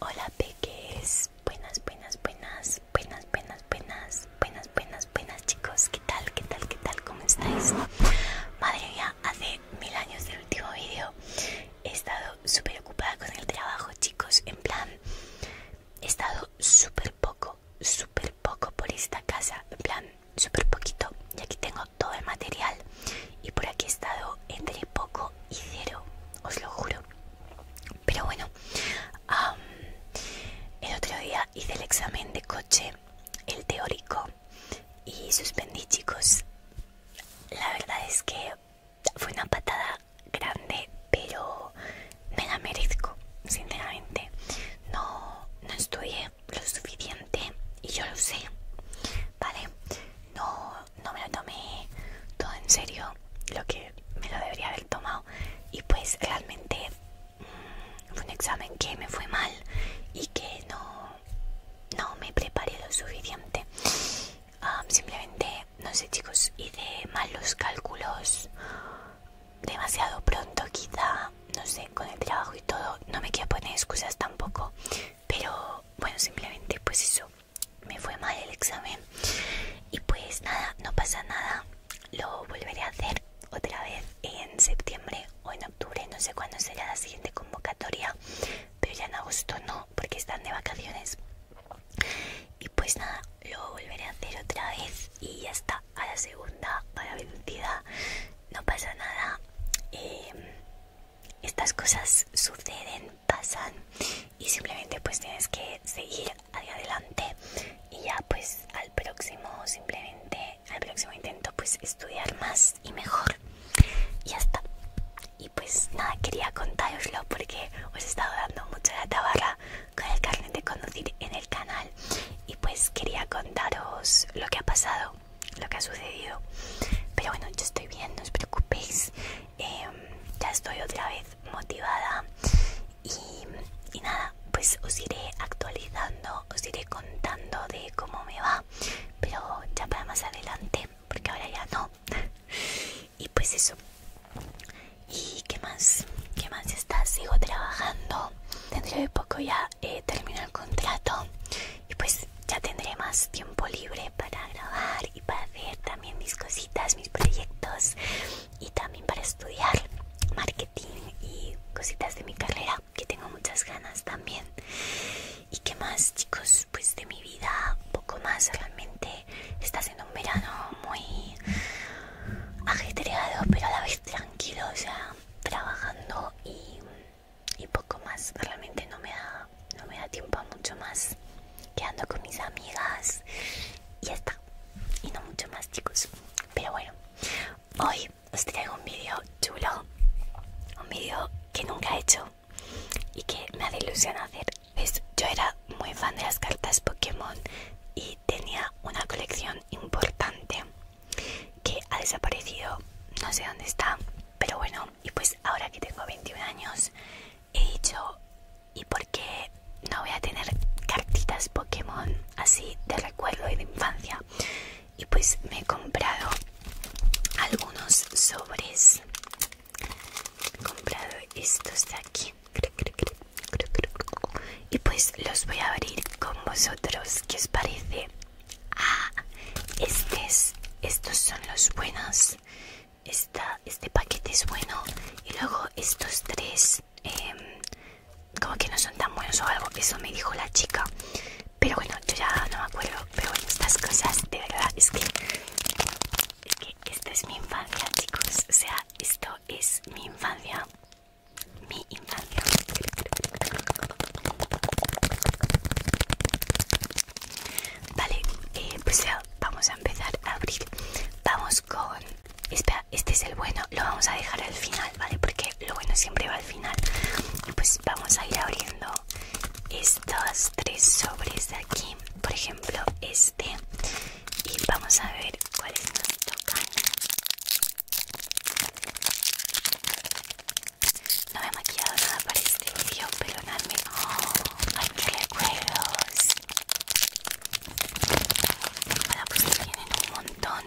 Hola peques, buenas, buenas, buenas, buenas, buenas, buenas, buenas, buenas, buenas chicos, ¿qué tal? ¿Qué tal? ¿Qué tal? ¿Cómo estáis? Madre mía, hace mil años del último vídeo he estado súper ocupada con el trabajo chicos, en plan, he estado súper poco, súper poco por esta casa, en plan, súper poquito y aquí tengo todo el material y por aquí he estado entre poco y cero os lo juro pero bueno el otro día hice el examen de coche el teórico y suspendí chicos la verdad es que fue una patada grande pero me la merezco sinceramente no no estudié lo suficiente y yo lo sé, ¿vale? No, me lo tomé todo en serio, lo que me lo debería haber tomado y pues realmente mm, fue un examen que me fue mal y que no, no me preparé lo suficiente. simplemente, no sé chicos, hice mal los cálculos demasiado pronto quizá no sé, con el trabajo y todo, no me quiero poner excusas tampoco, pero bueno, simplemente pues eso, me fue mal el examen y pues nada, no pasa nada, lo volveré a hacer otra vez en septiembre o en octubre, no sé cuándo será la siguiente convocatoria, pero ya en agosto no, porque están de vacaciones. Y pues nada, lo volveré a hacer otra vez y ya está, a la segunda, a la vencida, no pasa nada. Em, estas cosas suceden, pasan y simplemente pues tienes que seguir hacia adelante y ya pues al próximo simplemente al próximo intento pues estudiar más y mejor y ya está y pues nada quería contaroslo porque os he estado dando mucho la tabarra con el carnet de conducir en el canal y pues quería contaros lo que ha pasado lo que ha sucedido. Pero bueno, ya estoy bien, no os preocupéis. Em, ya estoy otra vez motivada. Y, nada, pues os iré actualizando, os iré contando de cómo me va. Pero ya para más adelante, porque ahora ya no. y pues eso. ¿Y qué más? ¿Qué más está? Sigo trabajando. Dentro de poco ya eh, contrato y pues ya tendré más tiempo libre para grabar y para hacer también mis cositas, mis proyectos y también para estudiar marketing y cositas de mi carrera que tengo muchas ganas también. ¿Y qué más chicos? Pues de mi vida poco más realmente. Está siendo un verano muy agitado pero a la vez tranquilo, o sea, trabajando y y poco más realmente no me da tiempo a mucho más quedando con mis amigas y ya está y no mucho más chicos pero bueno hoy os traigo un vídeo chulo un vídeo que nunca he hecho y que me hace ilusión hacer yo era muy fan de las cartas Pokémon y tenía una colección importante que ha desaparecido, no sé dónde está, pero bueno, y pues ahora que tengo 21 años, he dicho, ¿y por no voy a tener cartitas Pokémon así de recuerdo y de infancia? Y pues me he comprado algunos sobres. He comprado estos de aquí. Y pues los voy a abrir con vosotros. ¿Qué os parece? Ah, este estos son los buenos. este paquete es bueno. Y luego estos tres, em, como que no son tan buenos o algo. Eso me dijo la chica. Pero bueno, yo ya no me acuerdo. Pero estas cosas, de verdad, es que, es que es mi infancia, chicos. O sea, esto es mi infancia mi infancia. Vale, eh, pues vamos a empezar a abrir. Vamos con... Espera, este es el bueno. Lo vamos a dejar al final, ¿vale? Porque lo bueno siempre va al final. Pues vamos a ir abriendo estos tres sobres de aquí. Por ejemplo, este. Y vamos a ver cuáles nos tocan. No me he maquillado nada para este video, pero oh, Ay, Ay, qué recuerdos. Bueno, pues tienen un montón.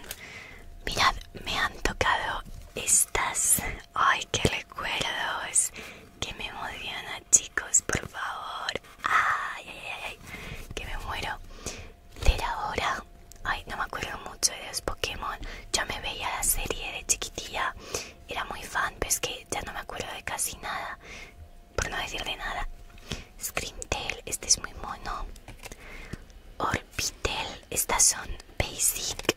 Mirad, me han tocado estas. Ay, qué recuerdos. Que me emociona, chicos, por favor. Ay, ay, ay, ay, que me muero de la hora. Ay, no me acuerdo mucho de los Pokémon. Yo me veía la serie de chiquitilla. Era muy fan, pero es que ya no me acuerdo de casi nada. Por no decir de nada. Screamtail, este es muy mono. Orbitel, estas son basic.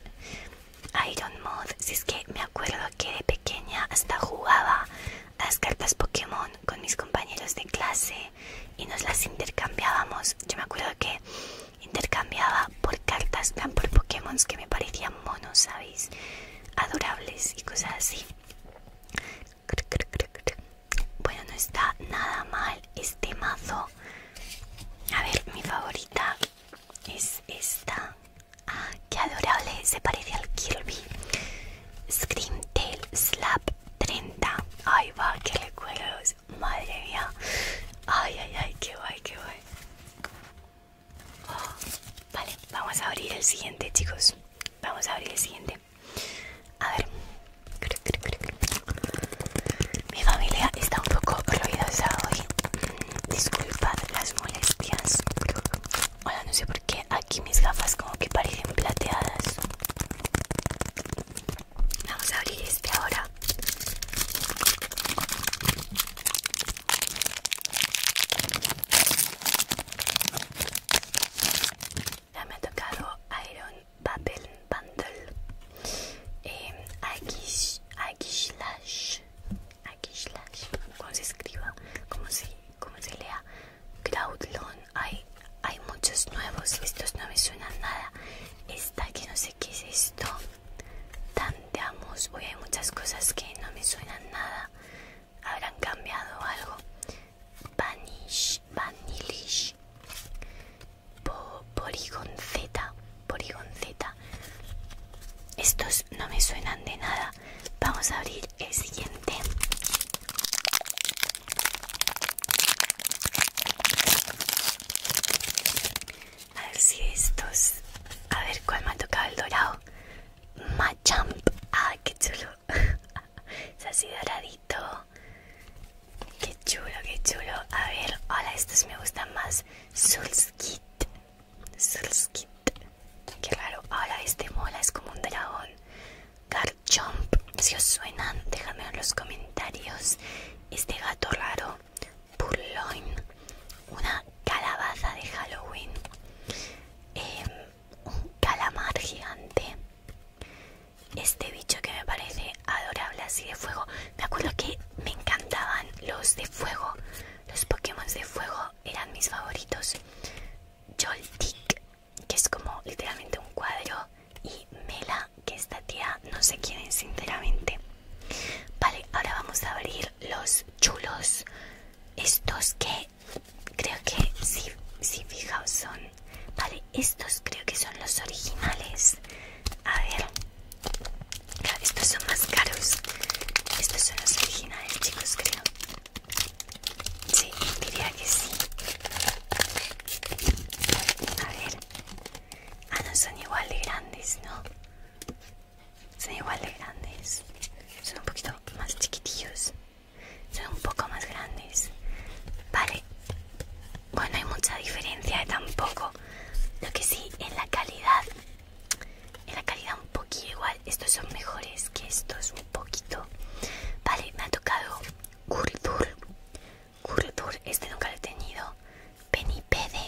Iron Mod, si es que me acuerdo que de pequeña hasta jugaba a las cartas Pokémon con mis compañeros de clase y nos las intercambiábamos. Yo me acuerdo que intercambiaba por cartas, tan por Pokémon que me parecían monos, ¿sabéis? Adorables y cosas así. Bueno, no está nada mal este mazo. A ver, mi favorita es esta. Ah, qué adorable, se parece al Kirby. Screamtail Slap 30. Ay, va, qué recuerdos. Madre mía. Ay, ay, ay, qué guay, qué guay. Oh, vale, vamos a abrir el siguiente, chicos. Vamos a abrir el siguiente. A ver. Mi familia está un poco ruidosa hoy. Disculpad las molestias. Hola, no sé por qué aquí mis gafas como que parecen plateadas. Vamos a abrir este ahora. Ya me ha tocado Iron Babel Bundle. Eh, aquí slash, aquí slash. ¿Cómo se escriba? ¿Cómo se, cómo se lea? Cloudlon. Hay, hay muchos nuevos. Estos no me suenan nada que no sé qué es esto tanteamos hoy hay muchas cosas que no me suenan nada habrán cambiado algo banish vanilish Porigonzeta. porigonzeta estos no me suenan de nada vamos a abrir el siguiente a ver si estos. A ver cuál me ha tocado el dorado. Machamp. Ah, qué chulo. es así doradito. Qué chulo, qué chulo. A ver, ahora estos me gustan más. Sulskit. Sulskit. Qué raro. Ahora este mola es como un dragón. Garchomp. Si os suenan, dejadme en los comentarios este gato raro, purloin, una calabaza de Halloween, em, un calamar gigante, este bicho que me parece adorable así de fuego. Me acuerdo que me encantaban los de fuego, los Pokémon de fuego eran mis favoritos. Joltik, que es como literalmente un cuadro y Mela, que esta tía no se quiere sinceramente. Vale, ahora vamos a abrir los chulos. Estos que creo que, si, fijaos, son... Vale, estos creo que son los originales. A ver. estos son más caros. Estos son los originales, chicos, creo. Sí, diría que sí. A ver. Ah, no, son igual de grandes, ¿no? Son igual de grandes. Son un poquito más chiquitillos. Son un poco más grandes. Vale. Bueno, hay mucha diferencia tampoco. Lo que sí, en la calidad. En la calidad un poquito igual. Estos son mejores que estos un poquito. Vale, me ha tocado Guldur Kurtur, este nunca lo he tenido. Penipede.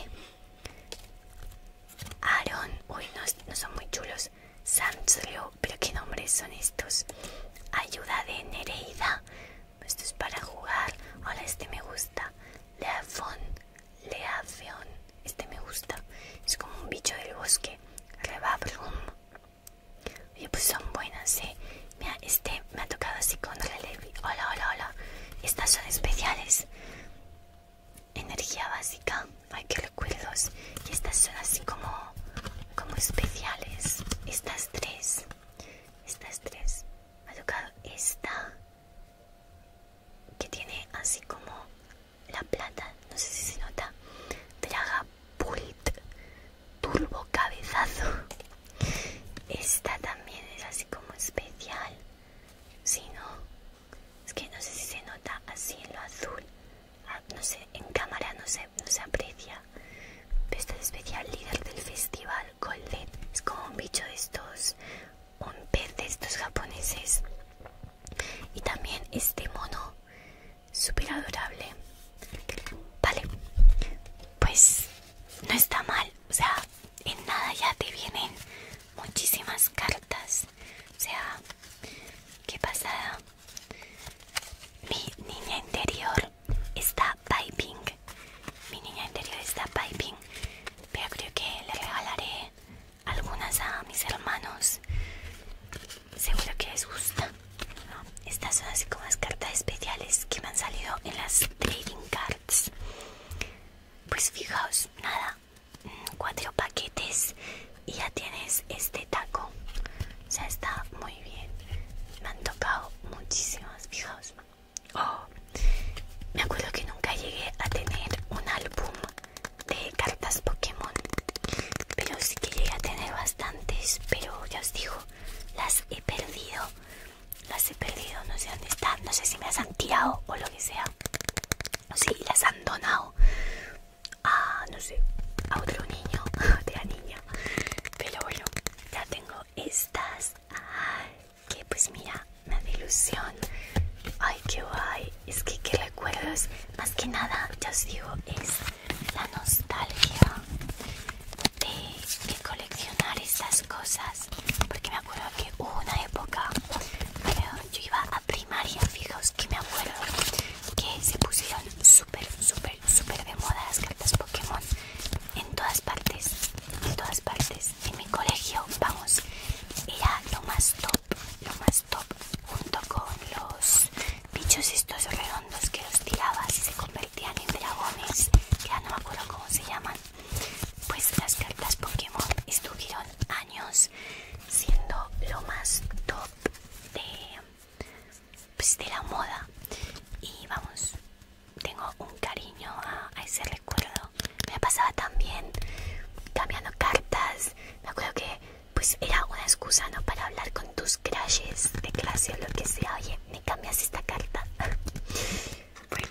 Aaron, uy, no, son muy chulos. Samslo, pero qué nombres son estos. Ayuda de Nereida. Esto es para jugar. Hola, este me gusta. Leafon, Leafion. Este me gusta. Es como un bicho del bosque. Rebabrum. Y pues son buenas, eh. Mira, este me ha tocado así con relieve. Hola, hola, hola. Estas son especiales. Energía básica. Ay, qué recuerdos. Y estas son así como, como especiales. Estas tres. Estas tres. Me ha tocado esta. Que tiene así como la plata. No sé si se nota. Draga Pult turbo cabezazo. Esta también es así como especial. Si no, es que no sé si se nota así en lo azul. Ah, no sé, en cámara no se, no aprecia. Pero este es especial líder del festival Golden. Es como un bicho de estos, un pez de estos japoneses. Y también este mono, súper adorable. Vale, pues no está mal, o sea, en nada ya te vienen muchísimas cartas, o sea, qué pasada. Mi niña interior está piping, mi niña interior está piping, pero creo que le regalaré algunas a mis hermanos, seguro que les gusta. Estas son así como las cartas especiales que me han salido en las trading cards. Pues fijaos, nada, mm, cuatro paquetes y ya tienes este taco. O sea, está muy bien. Me han tocado muchísimas, fijaos. Oh, me acuerdo que nunca llegué a tener un álbum de cartas Pokémon. Pero sí que llegué a tener bastantes, pero ya os digo, las he perdido las he perdido, no sé dónde están, no sé si me las han tirado o lo que sea. O si las han donado a, no sé, a otro niño, a otra niña. Pero bueno, ya tengo estas. que pues mira, una delusión. ilusión. Ay, qué guay. Es que qué recuerdos. Más que nada, ya os digo, es la nostalgia de, coleccionar estas cosas porque me acuerdo que hubo una época yo iba a primaria fijaos que me acuerdo que se pusieron súper súper súper de moda las cartas Pokémon en todas partes en todas partes en mi colegio vamos era lo más top lo más top junto con los bichos estos redondos los que los tirabas se convertían en dragones, ya no me acuerdo cómo se llaman. Pues las cartas Pokémon estuvieron años siendo lo más top de, pues, de la moda. Y vamos, tengo un cariño a, ese recuerdo. Me pasaba también cambiando cartas. Me acuerdo que pues era una excusa no para hablar con tus crashes de clase o lo que sea. Oye, ¿Me cambias esta carta. bueno,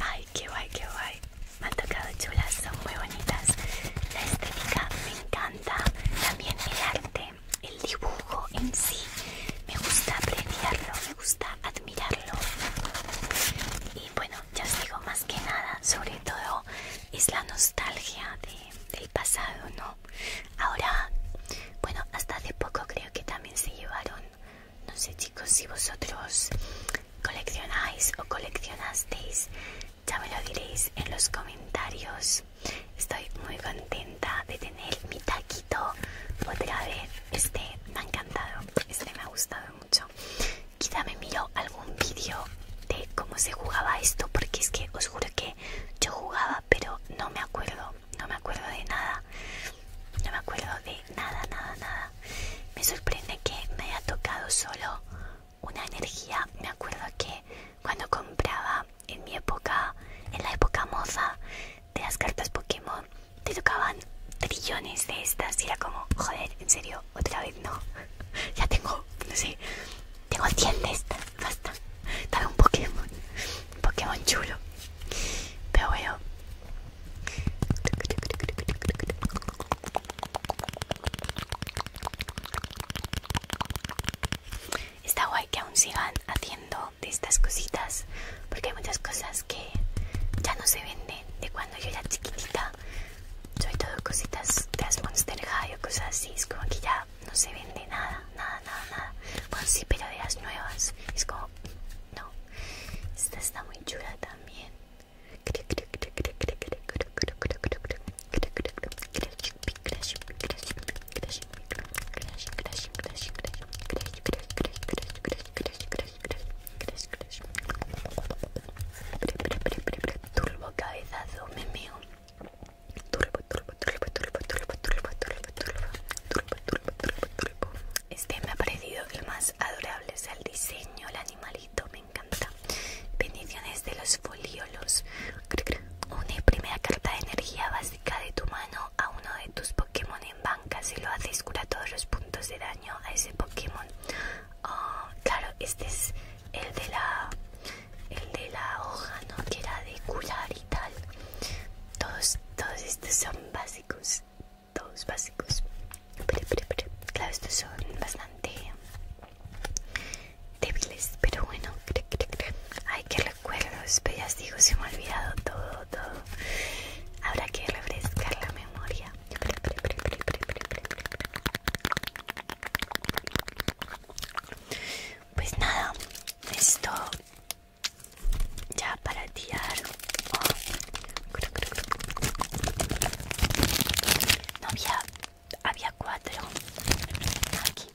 ay, qué guay, qué guay. Me han tocado chulas, son muy bonitas. La estética me encanta. También el arte, el dibujo en sí. Me gusta apreciarlo, me gusta admirarlo. Y bueno, ya os digo, más que nada, sobre todo es la nostalgia de, del pasado, ¿no? Ahora, bueno, hasta hace poco creo que también se llevaron, no sé chicos, si vosotros coleccionáis o coleccionasteis, ya me lo diréis en los comentarios. Estoy muy contenta de tener mi taquito otra vez. Este me ha encantado, este me ha gustado mucho. Quizá me miro algún vídeo de cómo se jugaba esto, porque es que os juro que yo jugaba, pero no me acuerdo no me acuerdo de nada. No me acuerdo de nada, nada, nada. Me sorprende que me haya tocado solo una energía. Me acuerdo que cuando compraba en mi época, en la época moza de las cartas Pokémon, te tocaban trillones de estas. Y era como, joder, en serio, otra vez no. ya tengo, no sé, tengo 100 de estas. Basta. Está un Pokémon. Un Pokémon chulo. Pero bueno. Está guay que aún sigan haciendo de estas cositas. Porque hay muchas cosas que ya no se venden de cuando yo era chiquitita. Sobre todo cositas de las Monster High o cosas así. como que ya no se vende nada, nada, nada, nada. Bueno, sí, pero de las nuevas. Es como, no. Esta está muy chula también. Turbo cabezazo, este me ha parecido el más adorable, es el diseño, el animalito, me encanta. Bendiciones de los foliolos. Una primera carta de energía básica de tu mano a uno de tus Pokémon en banca. Si lo haces, cura todos los puntos de daño a ese Pokémon. Ah, claro, este es el de la el de la hoja, ¿no? Que era de curar tal Todos, todos estos son básicos, todos básicos. claro, estos son bastante débiles, pero bueno, hay que Ay, qué recuerdos, pero ya os digo, se me ha olvidado todo, todo. Habrá que refrescar la memoria. Pues nada, esto ya para tirar no había había cuatro aquí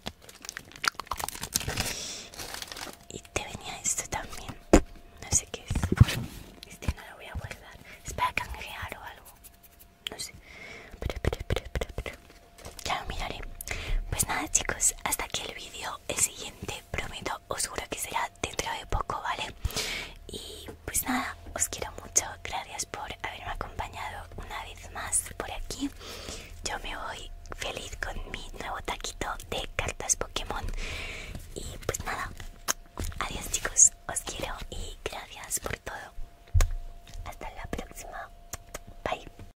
y te venía esto también no sé qué es este no lo voy a guardar es para canjear o algo no sé ya lo miraré pues nada chicos hasta aquí el vídeo el siguiente prometo os juro que será dentro de poco vale y pues nada os quiero mucho gracias por haberme acompañado una vez más por aquí yo me voy feliz con mi nuevo taquito de cartas Pokémon y pues nada adiós chicos os quiero y gracias por todo hasta la próxima bye